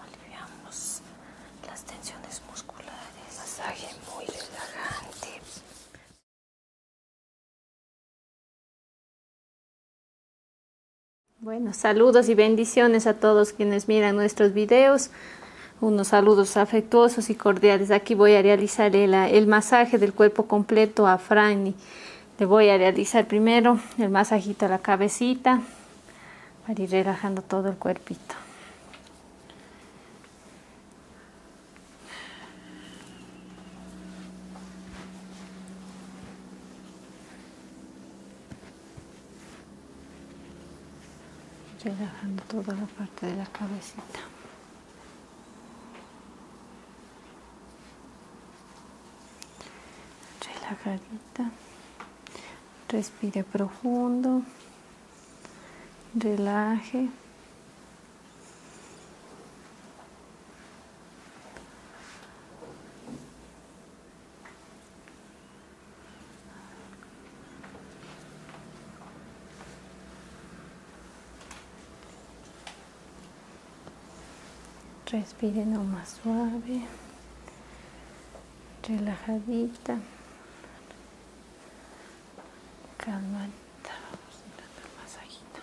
Aliviamos las tensiones musculares. Masaje muy relajante. Bueno, saludos y bendiciones a todos quienes miran nuestros videos unos saludos afectuosos y cordiales. Aquí voy a realizar el, masaje del cuerpo completo a Franny. Le voy a realizar primero el masajito a la cabecita para ir relajando todo el cuerpito. relajando toda la parte de la cabecita carita, respire profundo relaje Respire no más suave, relajadita, calma vamos a masajito.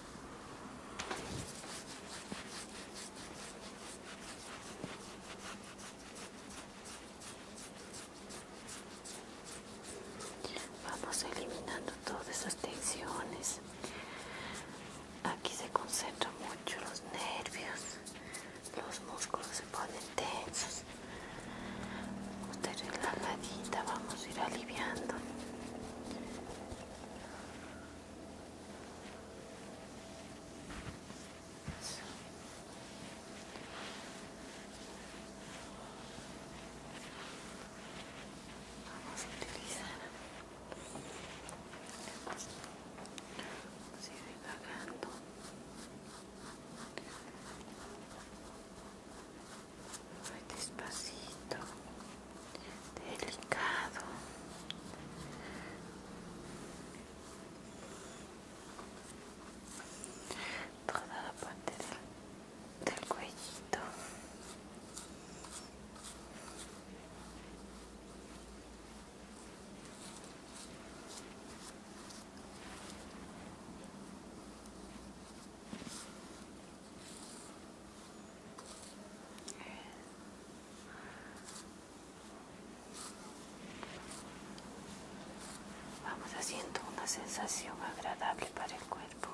Vamos eliminando todas esas tensiones. Aquí se concentran mucho los nervios, los músculos se ponen tensos. la relajadita, vamos a ir aliviando. Vamos a utilizar. despacito delicado toda la parte del, cuello. cuellito Vamos haciendo una sensación agradable para el cuerpo.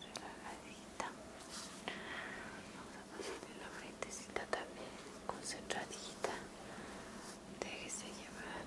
Relajadita. Vamos a pasarle la frentecita también, concentradita. Déjese llevar.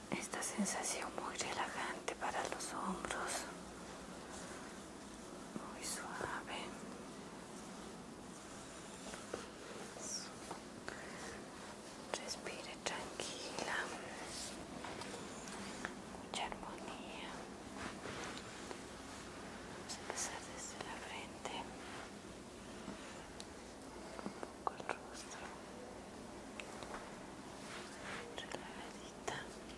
esta sensación muy relajante para los hombros, muy suave. Respire tranquila, mucha armonía. Vamos a empezar desde la frente un poco el rostro relajadita el cuello relajadita relajadita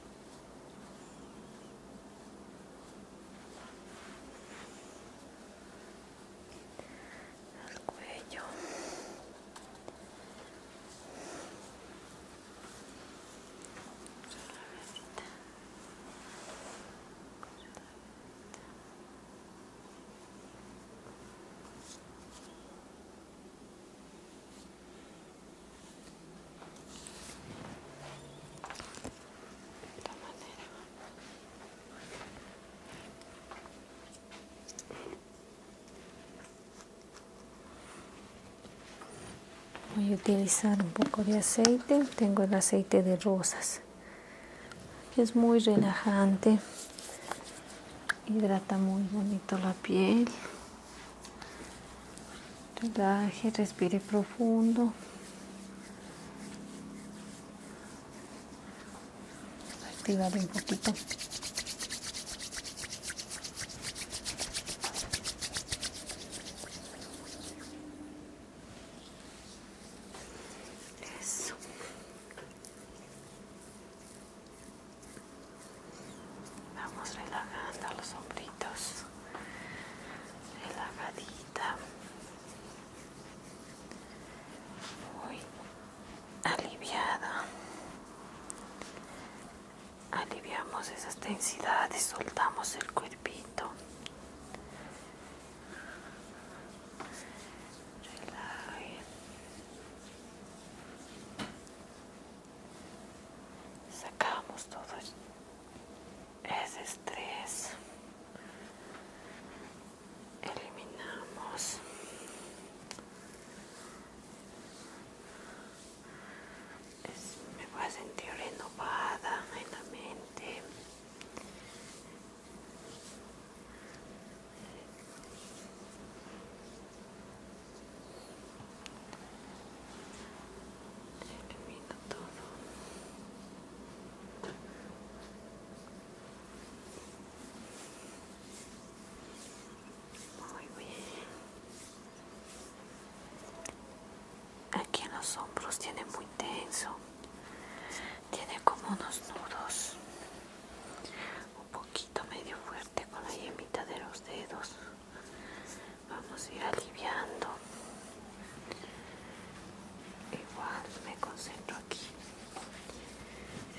voy a utilizar un poco de aceite tengo el aceite de rosas es muy relajante. Hidrata muy bonito la piel. Relaje, respire profundo. activa un poquito. Vamos relajando los hombritos. Relajadita. Muy aliviada. Aliviamos esas densidades soltamos el cuerpito sacamos todo ese estrés eliminamos me voy a sentir renovada en la mente muy bien. Aquí en los hombros tiene muy tenso. Tiene como unos nudos un poquito medio fuerte con la yemita de los dedos vamos a ir aliviando igual me concentro aquí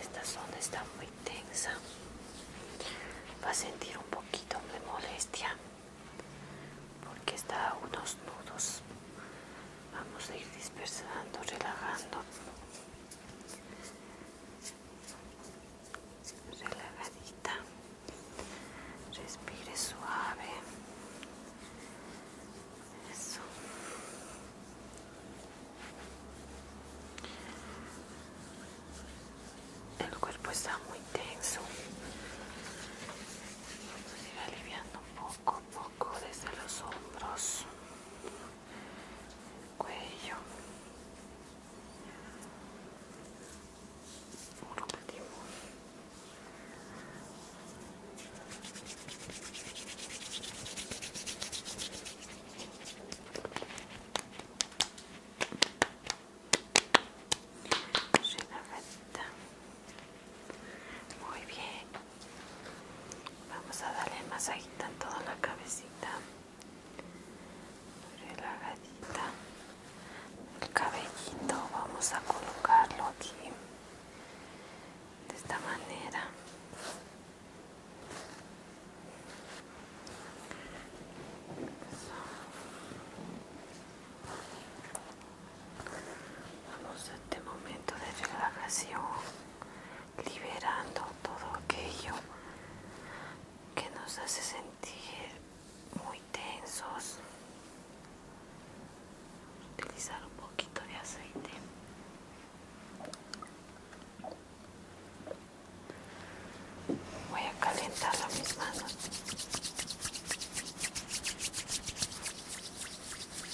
esta zona está muy tensa va a sentir un poquito de molestia porque está a unos nudos vamos a ir dispersando relajando relajadita respire suave eso el cuerpo está muy tenso vamos a ir aliviando poco a poco desde los hombros cuello Por último muy bien Vamos a darle masajita en toda la cabecita. Relagadita. El cabellito vamos a colocarlo aquí. De esta manera. Vamos a este momento de relajación liberando todo aquello que nos hace sentir muy tensos. Utilizar un poquito de aceite. Voy a calentar mis manos.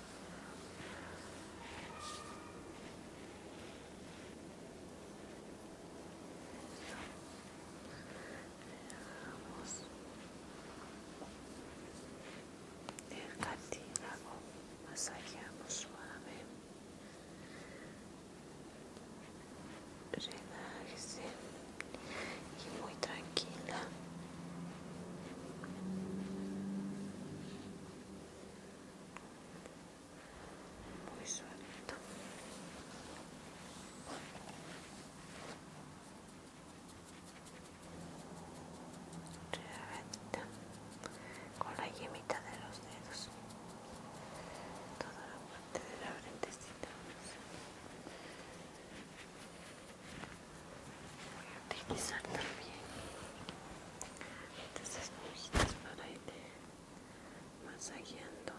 Veamos el cartílago, masajeamos suave, relájese y muy tranquila. Muy suelto. con la yemita de los dedos. Toda la parte de la frentecita voy a utilizar también estas esponjitas para ir masajeando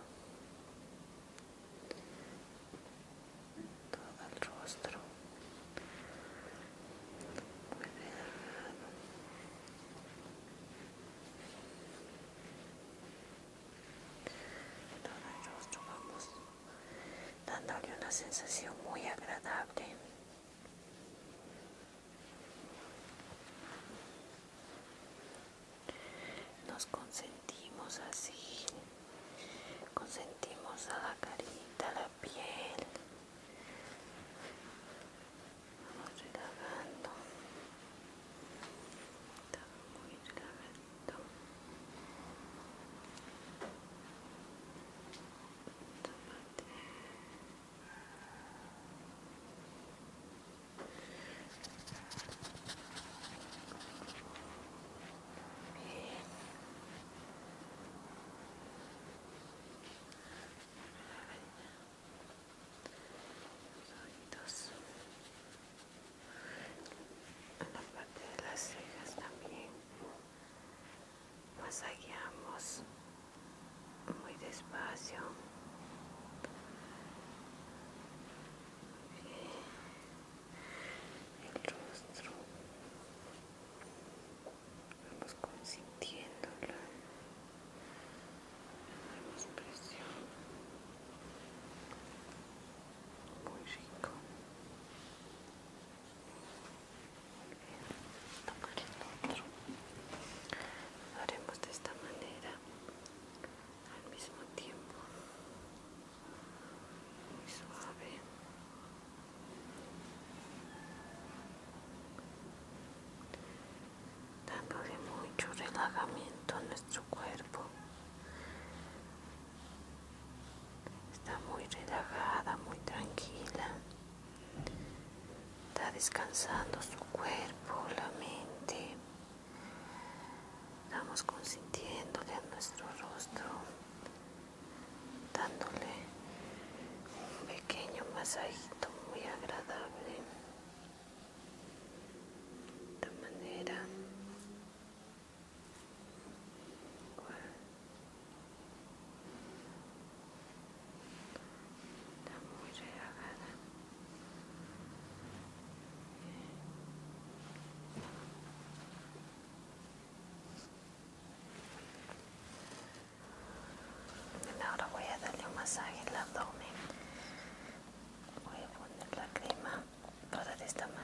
todo el rostro muy todo el rostro vamos dándole una sensación muy agradable nos consentimos así consentimos a la carita a la piel vamos relajando está muy Tomate. Bien. Los oídos la parte de las cejas también masajeamos muy despacio el rostro vamos consintiéndolo damos presión muy rico tomar el otro lo haremos de esta manera al mismo tiempo muy suave dándole mucho relajamiento a nuestro cuerpo Está muy relajada, muy tranquila. Está descansando su cuerpo, la mente. Estamos consintiéndole a nuestro rostro, dándole un pequeño masajito muy agradable. De manera Está Ahora voy a darle un masaje al abdomen. Voy a poner la crema para de esta manera.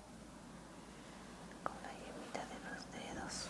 con la yemita de los dedos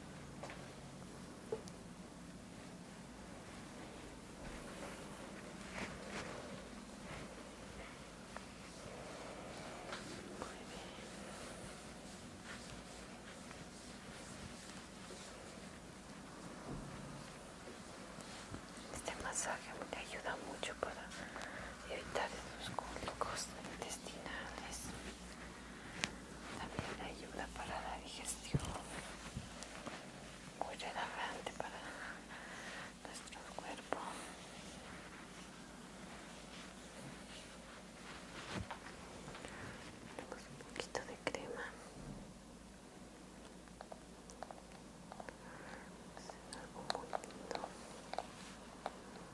Este masaje me ayuda mucho para evitar esos cólicos intestinales. También ayuda para la digestión. Muy relajante para nuestro cuerpo. Tenemos un poquito de crema. algo lindo.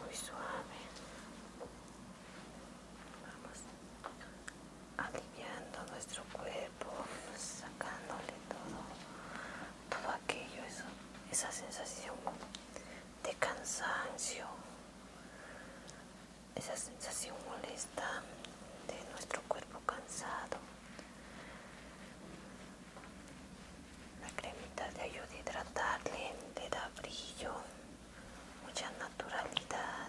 muy suave vamos aliviando nuestro cuerpo, sacándole todo, todo aquello, esa sensación de cansancio, esa sensación molesta de nuestro cuerpo cansado. La cremita de ayuda a hidratarle, te da brillo, mucha naturalidad.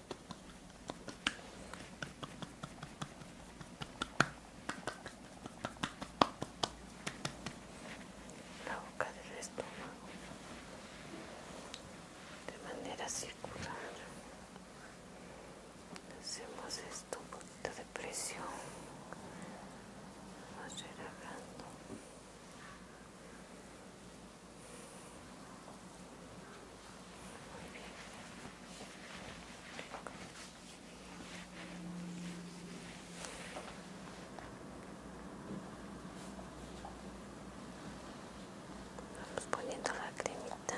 la boca del estómago de manera circular hacemos esto un poquito de presión relajando Vamos poniendo la cremita.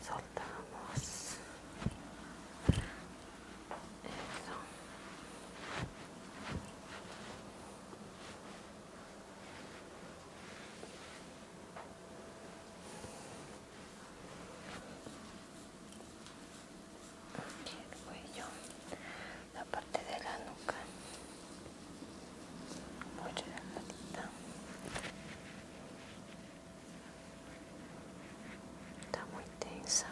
soltamos eso el cuello, la parte de la nuca, muy relajadita Está muy tensa.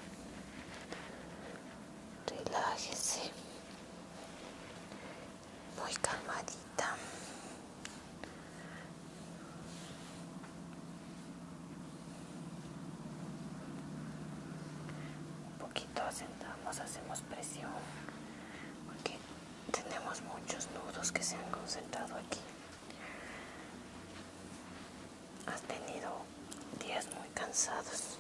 Relájese. Muy calmadita. Un poquito sentamos, hacemos presión porque tenemos muchos nudos que se han concentrado aquí has tenido días muy cansados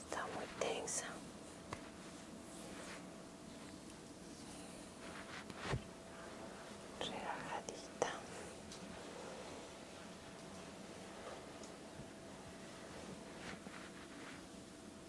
está muy tensa relajadita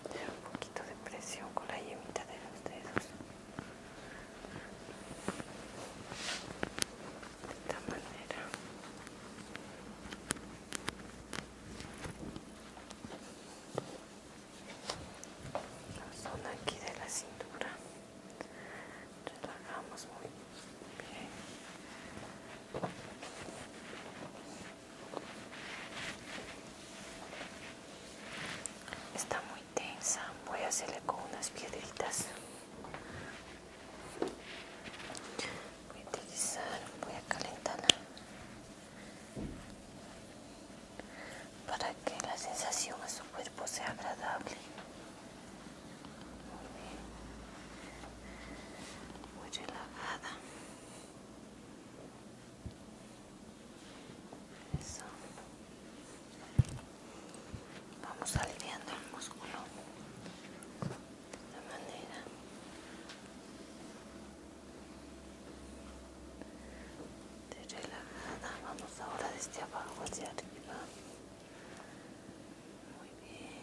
un poquito de presión con la yemita de los dedos de esta manera la zona aquí de la cintura relajamos muy bien Está muy tensa. Voy a hacerle con unas piedritas. Voy a utilizar, voy a calentarla para que la sensación a su cuerpo sea agradable. Muy bien. Muy relajada. Vamos aliviando el músculo de manera. De relajada, vamos ahora desde abajo hacia arriba. Muy bien.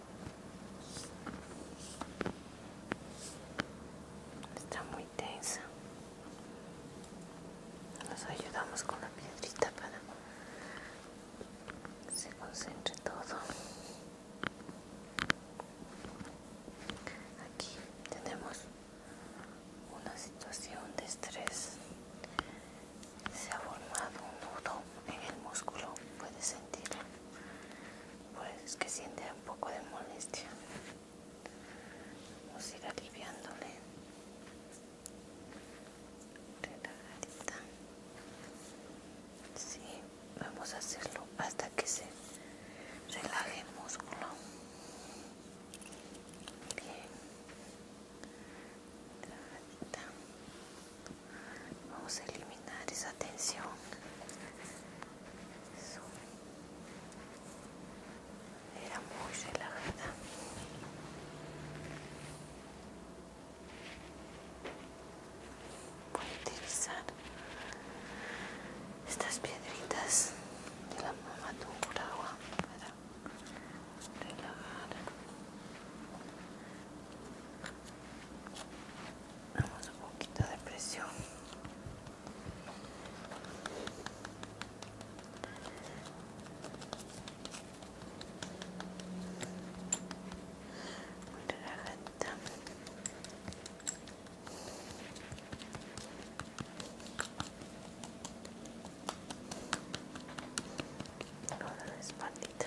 Está muy tensa. Nos ayudamos con la piedrita para que se concentre todo. Aquí tenemos una situación de estrés. Se ha formado un nudo en el músculo, puedes sentirlo pues es que siente un poco de molestia vamos a ir aliviándole relajadita sí, vamos a hacerlo hasta que se relaje el músculo bien relajadita Vamos a eliminar esa tensión. Era muy relajada. Voy a utilizar estas piedritas de la mamá de para relajar Vamos un poquito de presión. Muy relajada. Ahora la espaldita.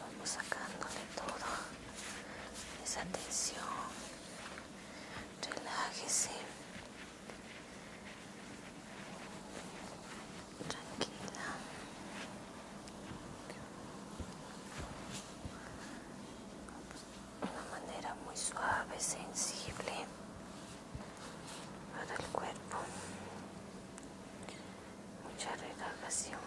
vamos sacándole todo esa tensión relájese tranquila de una manera muy suave sensible para el cuerpo mucha relajación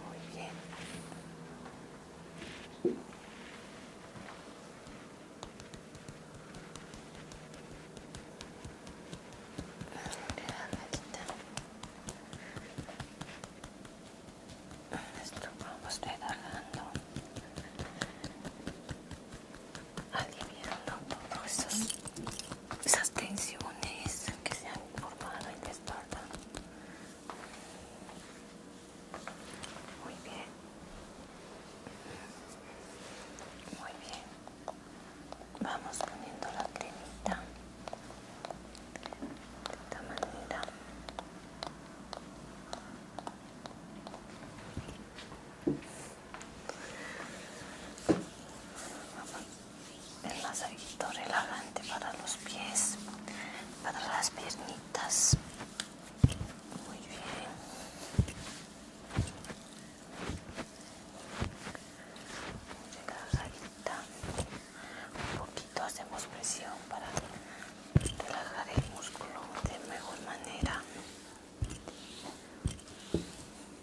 Muy bien. vamos a estar dando aliviando todos esos esas tensiones que se han formado en la espalda. Muy bien. Muy bien. Vamos poniendo la cremita de esta manera el masajito relajante para los pies, para las piernitas. Muy bien. Un poquito hacemos presión para relajar el músculo de mejor manera.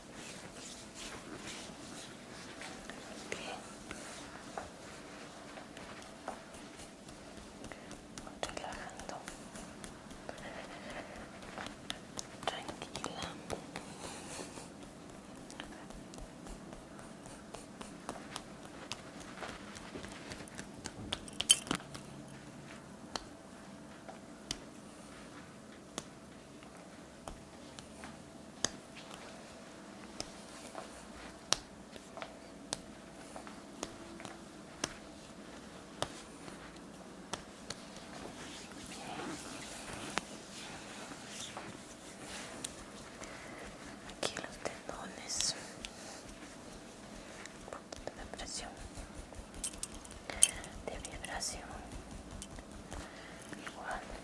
Ok. Relajando. Tranquila. Muy Aquí los tendones, un de presión de vibración igual Perfecto.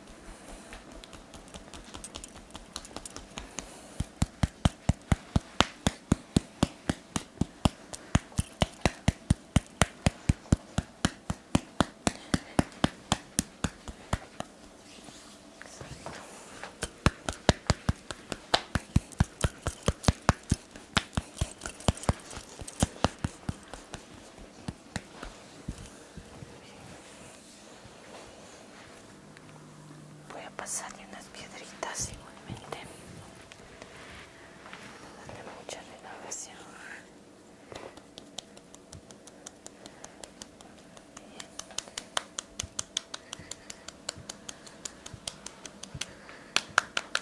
Voy a pasarle unas piedritas igualmente. Darle mucha renovación.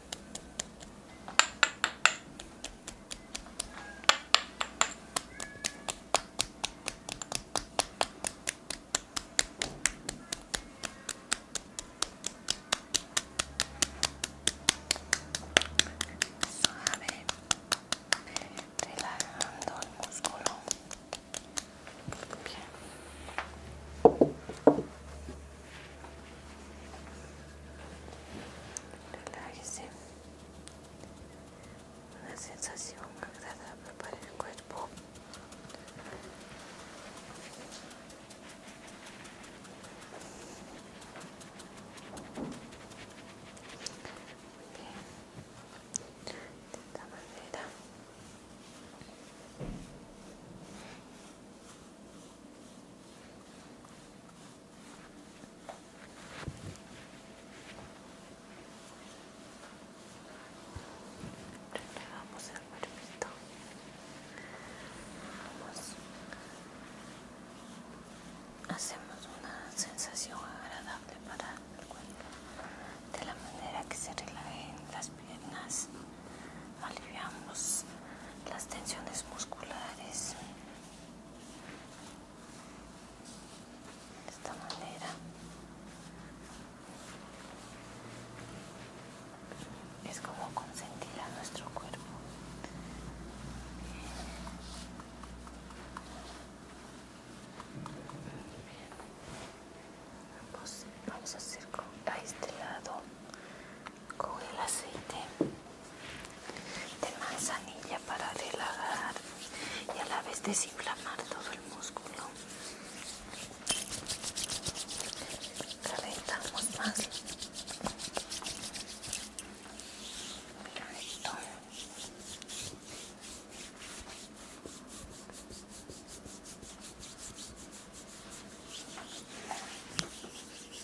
Suave, relajando el músculo. Bien. Relájese. Una sensación agradable para el cuerpo. Bien. De esta manera. Relevamos el cuerpito. Hacemos una sensación agradable para el cuerpo de la manera que se relajen las piernas aliviamos las tensiones musculares de esta manera es como consentir a nuestro cuerpo vamos a hacer a este lado con el aceite de manzanilla para relajar y a la vez desinflamar todo el músculo. Calentamos más. Mira esto.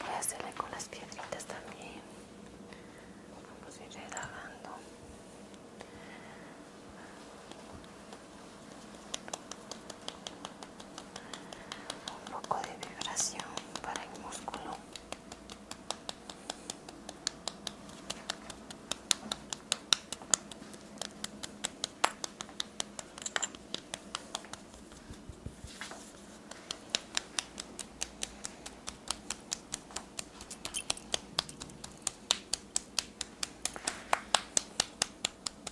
Voy a hacerle con las piedritas también. Vamos a ir lavando un poco de vibración para el músculo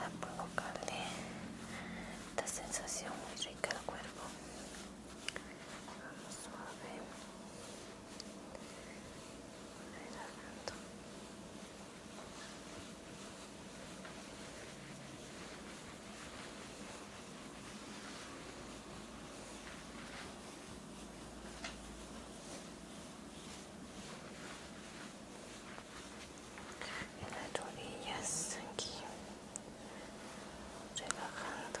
a colocarle esta eh. sensación muy rica al cuerpo vamos suave en las rodillas aquí relajando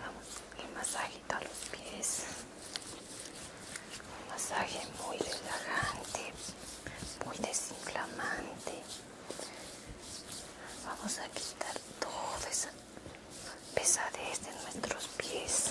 Vamos, el masajito a los pies. Un masaje muy relajante, muy desinflamante. Vamos a quitar toda esa pesadez de nuestros pies.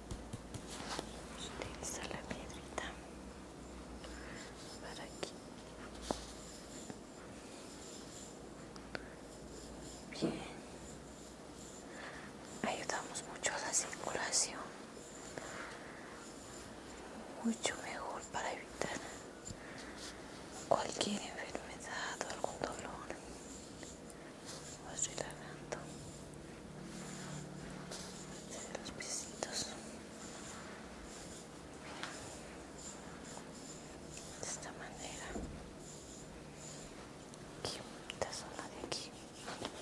utilizar la piedrita para aquí bien ayudamos mucho a la circulación mucho mejor para evitar cualquier enfermedad o algún dolor así relajando los piecitos de esta manera aquí te zona de aquí relajante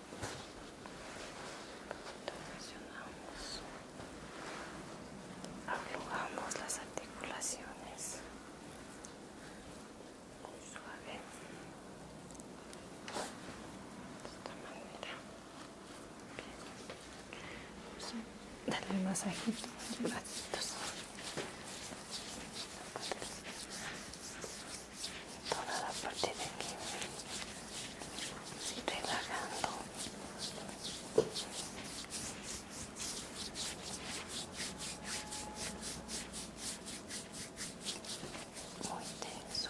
presionamos aflojamos las articulaciones muy suave de esta manera. Vamos a darle masajito a los toda la parte de aquí relajando muy tenso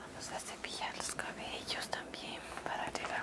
Vamos a cepillar los cabellos también para llegar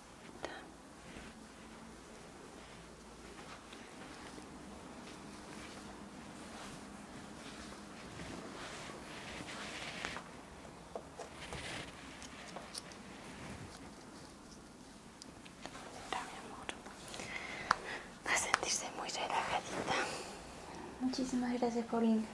Va a sentirse muy relajadita. Muchísimas gracias, Paulina.